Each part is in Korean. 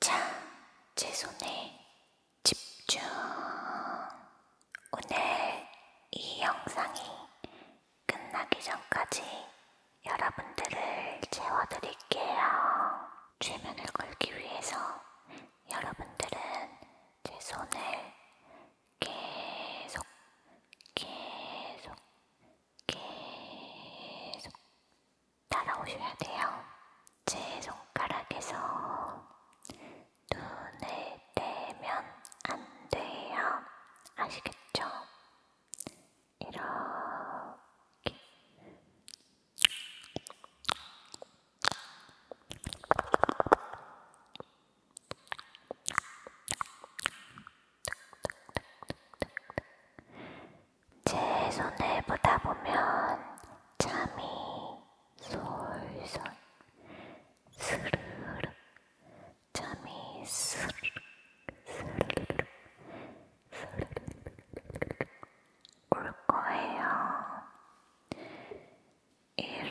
자, 제 손에 집중. 오늘 이 영상이 끝나기 전까지 여러분들을 채워드릴게요. 최면을 걸기 위해서 여러분들은 제 손을 계속, 계속, 계속, 따라오셔야 돼요. 제 손가락에서 눈을 떼면 안 돼요. 아시겠죠? 이렇게. 제 손을 보다 보면 잠이 솔솔 스르륵 잠이 스르륵 스르륵 스르륵 올 거예요. 이렇게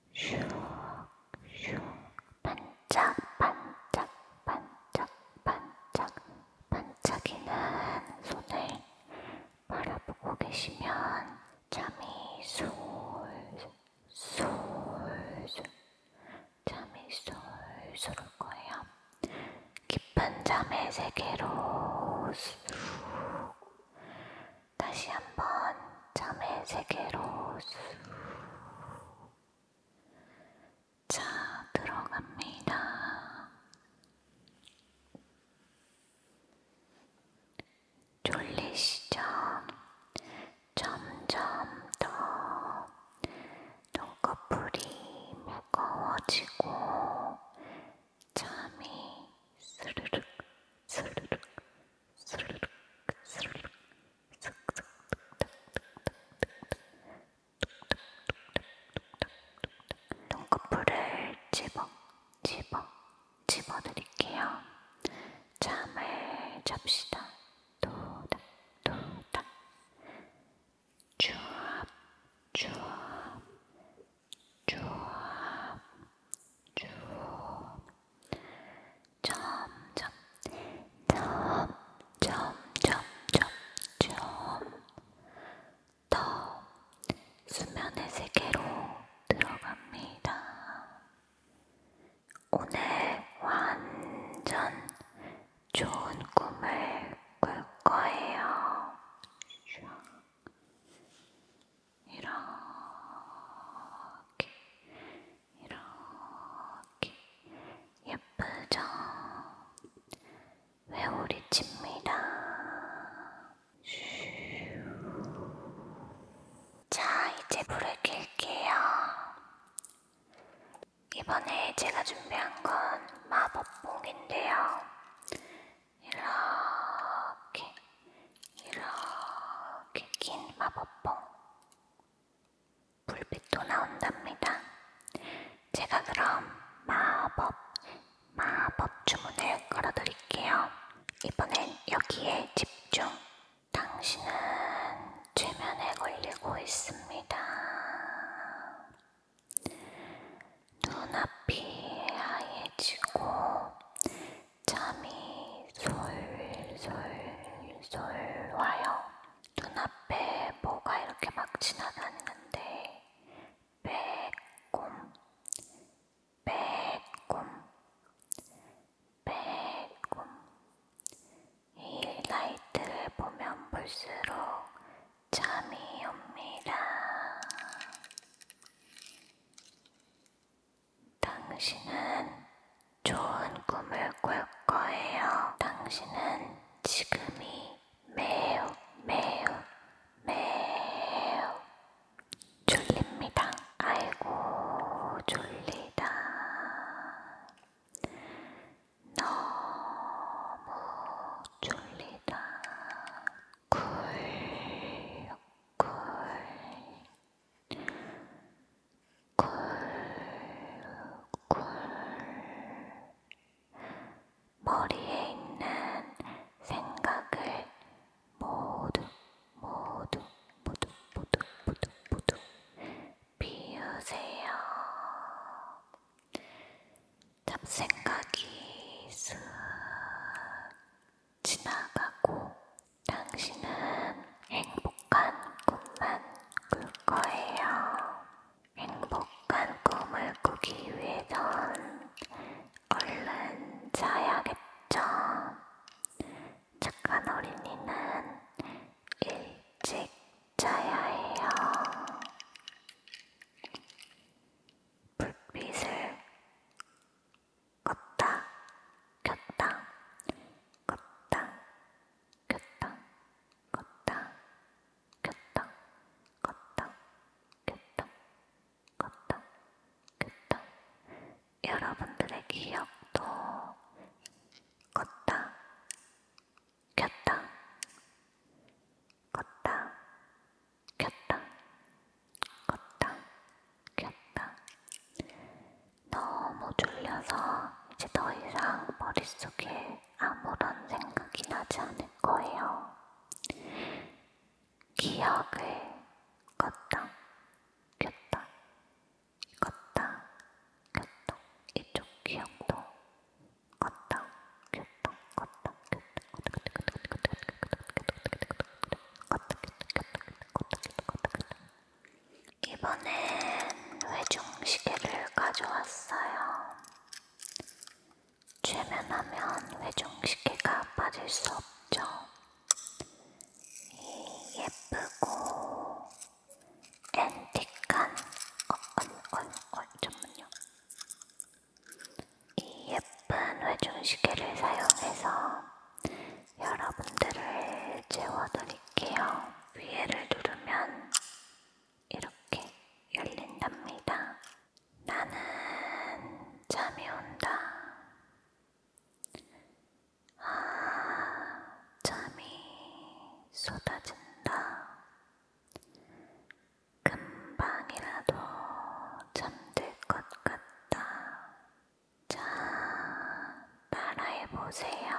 슉슉 반짝 반짝 반짝 반짝 반짝이는 손을 바라보고 계시면 잠이 솔솔 솔솔 잠이 솔솔 올 거예요. 깊은 잠의 세계로 쑥 다시 한번 잠의 세계로 자 들어갑니다. 졸리시죠? 점점 더 눈꺼풀이 무거워지고 잠이 스르륵 스르륵 눈꺼풀을 집어 집어 집어 드릴게요. 잠을 잡시다. 도닥 도닥 주압 주압 쭉쭉 점점 점점 점점 점점 더 수면의 세계로 들어갑니다. 오늘 완전 좋은 꿈을 꿀 거예요. 이렇게 이렇게 예쁘죠? 회오리 칩니다. 자, 이제 불을 켤게요. 이번에 제가 준비한 건 마법봉인데요. 이렇게 이렇게 긴 마법봉 불빛도 나온답니다. 제가 그럼 마법 마법 주문을 걸어드릴게요. 이번엔 여기에 집중. 당신은 최면에 걸리고 있습니다. 눈앞이 하얘지고 잠이 솔솔솔 와요. 눈앞에 뭐가 이렇게 막 지나다니는데 빼꼼 빼꼼 빼꼼 이 라이트를 보면 볼수록 잠이 옵니다. 당신은 좋은 꿈을 꿀 거예요. 당신은 지금이 매우 매우 매우 졸립니다. 아이고 졸리다. 너무 졸리다. 굴굴굴굴 머리에 있는 생각을 모두 모두 모두 모두 모두 모두 비우세요. 잡생각이 슥 지나가고 당신은 행복한 꿈만 꿀 거예요. 행복한 꿈을 꾸기 위해선 얼른 자야겠죠. 착한 어린이는 일찍 자야 해요. 불빛을 껐다 켰다 껐다 켰다 껐다 켰다 껐다 켰다 껐다 켰다 여러분들의 기억도 껐다 켰다 껐다 켰다 껐다 켰다 너무 졸려서 이제 더 이상 머릿속에 아무런 생각이 나지 않을 거예요. 기억을 껐다 켰다 껐다 켰다 이쪽 기억도 걷다 겼다 걷다 겼다 걷다 겼다 걷다 겼다 걷다 겼다 이번엔 회중시계를 가져왔어요. 최면하면 회중시계가 빠질 수 없죠. 이 예쁘고 앤틱한 어언언언 전문용 이 예쁜 회중시계를 사용해서 여러분들을 재워드릴게요. 위에를 누르면 이렇게 열린답니다. 나는 잠이 온다. 아, 잠이 쏟아진다. 금방이라도 잠들 것 같다. 자, 따라해보세요.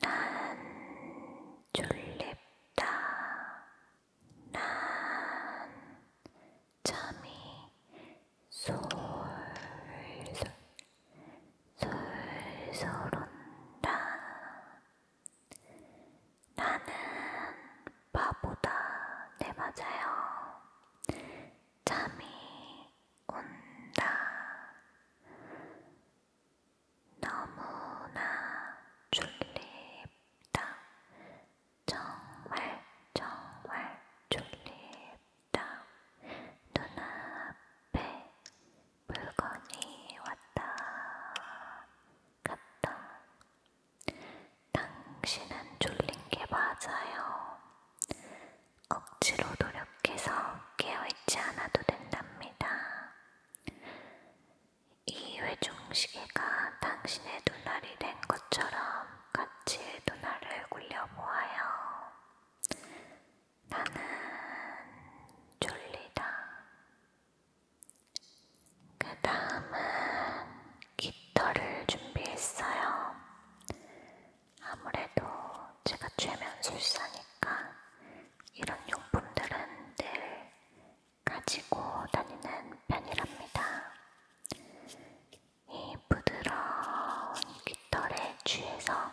난 졸립다. 난 잠이 솔솔 솔솔 온다. 나는 바보다. 네, 맞아요. 잠이 온다. 너무나 졸립다. 정말 정말 졸립다. 눈앞에 물건이 왔다 갔다. 당신은 졸린 게 맞아요. 억지로 노력해서 깨어있지 않아도 된답니다. 이 회중시계가 당신의 눈알이 된 것처럼 같이 눈알을 굴려보아요. 나는 졸리다. 그 다음은 깃털을 준비했어요. 아무래도 제가 최면술사니까 이런 용품들은 늘 가지고 다니는 편이랍니다. 이 부드러운 깃털에 취해서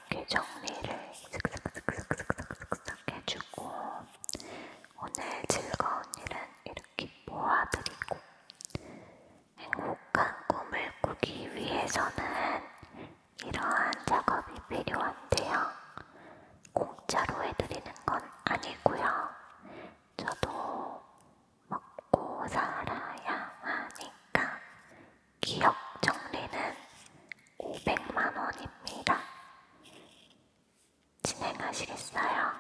이렇게 정리를 슥슥슥슥슥슥 해주고 오늘 즐거운 일은 이렇게 모아드리고 행복한 꿈을 꾸기 위해서는 이러한 작업이 필요한데요. 공짜로 해드리는 건 아니고요. 저도 먹고 살아야 하니까 기억 정리는 500만 원입니다. 진행하시겠어요?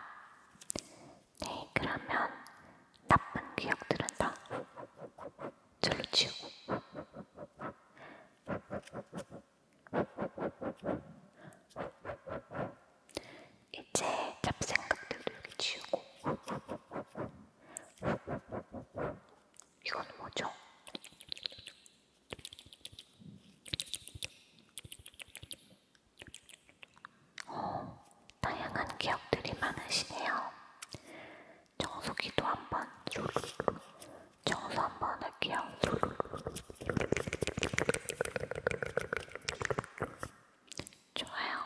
네, 그러면 나쁜 기억들은 다 절로 치우고 이제 잡생각들도 여기 치우고 이건 뭐죠? 오, 어, 다양한 기억들이 많으시네요. 청소기도 한번 청소 한번 할게요. 좋아요.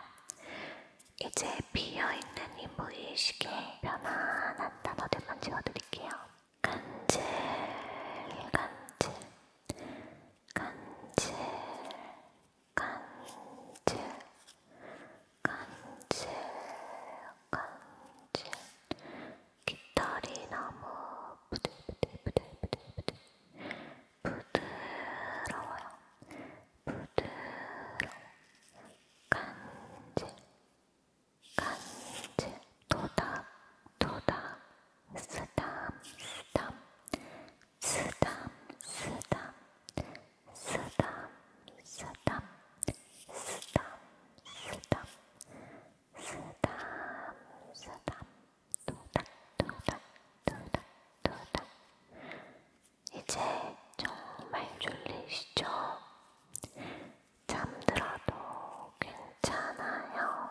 이제 비어있는 이 무의식에 편안한 단어들만 지워드릴게요. 간질, 간질, 간질, 간질, 간질, 간질. 깃털이 너무 부들부들부들부들부들 부드러워요. 부드러워, 간질 간질 도닥 도닥 쓰담 쓰담 쓰담 쓰담 쓰담 쓰담 쓰담 쓰담 쓰담 쓰담 도닥 도닥 도닥 도닥 이제 정말 졸리시죠? 잠들어도 괜찮아요.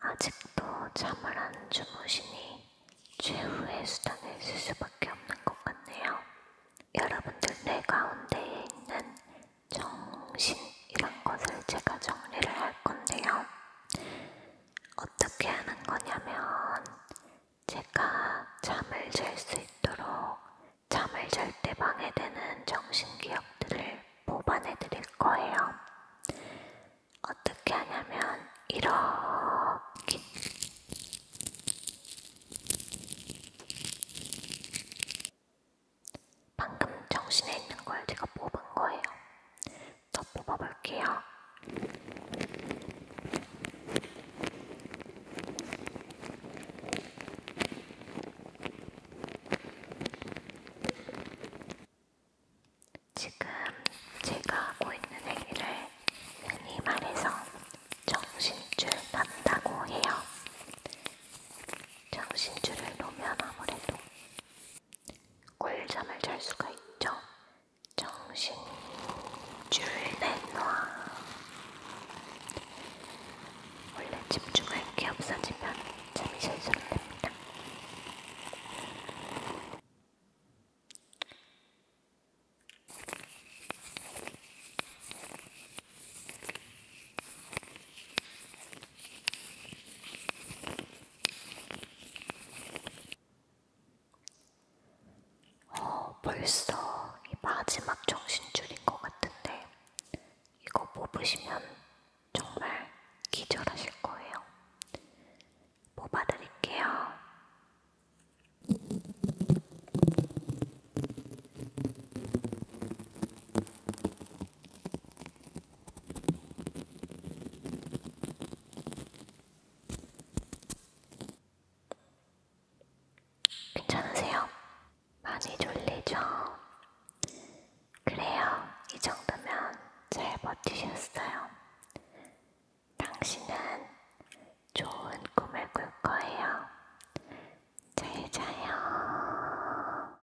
아직도 잠을 안 주무시니 최후의 수단을 쓸 수밖에 없는 것 같네요. 여러분들 뇌 가운데에 있는 정신이란 것을 제가 정리를 할 건데요. 어떻게 하는 거냐면 제가 잠을 잘 수 있도록 잠을 잘 때 방해되는 정신기억들을 뽑아내 드릴 거예요. 어떻게 하냐면 이렇게 방금 정신에 있는 걸 제가 뽑은 거예요. 더 뽑아볼게요. 지금 제가 하고 있는 행위를 흔히 말해서 정신줄 난다고 해요. 정신줄을 놓으면 아무래도 꿀잠을 잘 수가 있죠. 정신이 줄 내놔. 원래 집중할 게 없어지면 잠이 잘수 됩니다. 어, 벌써 이 마지막 정신줄인 것 같은데 이거 뽑으시면 정말 기절하실 거예요. 뽑아드릴게요. 괜찮으세요? 많이 졸리죠? 그래요. 이 정도면 잘 버티셨어요. 당신은 좋은 꿈을 꿀 거예요. 잘 자요.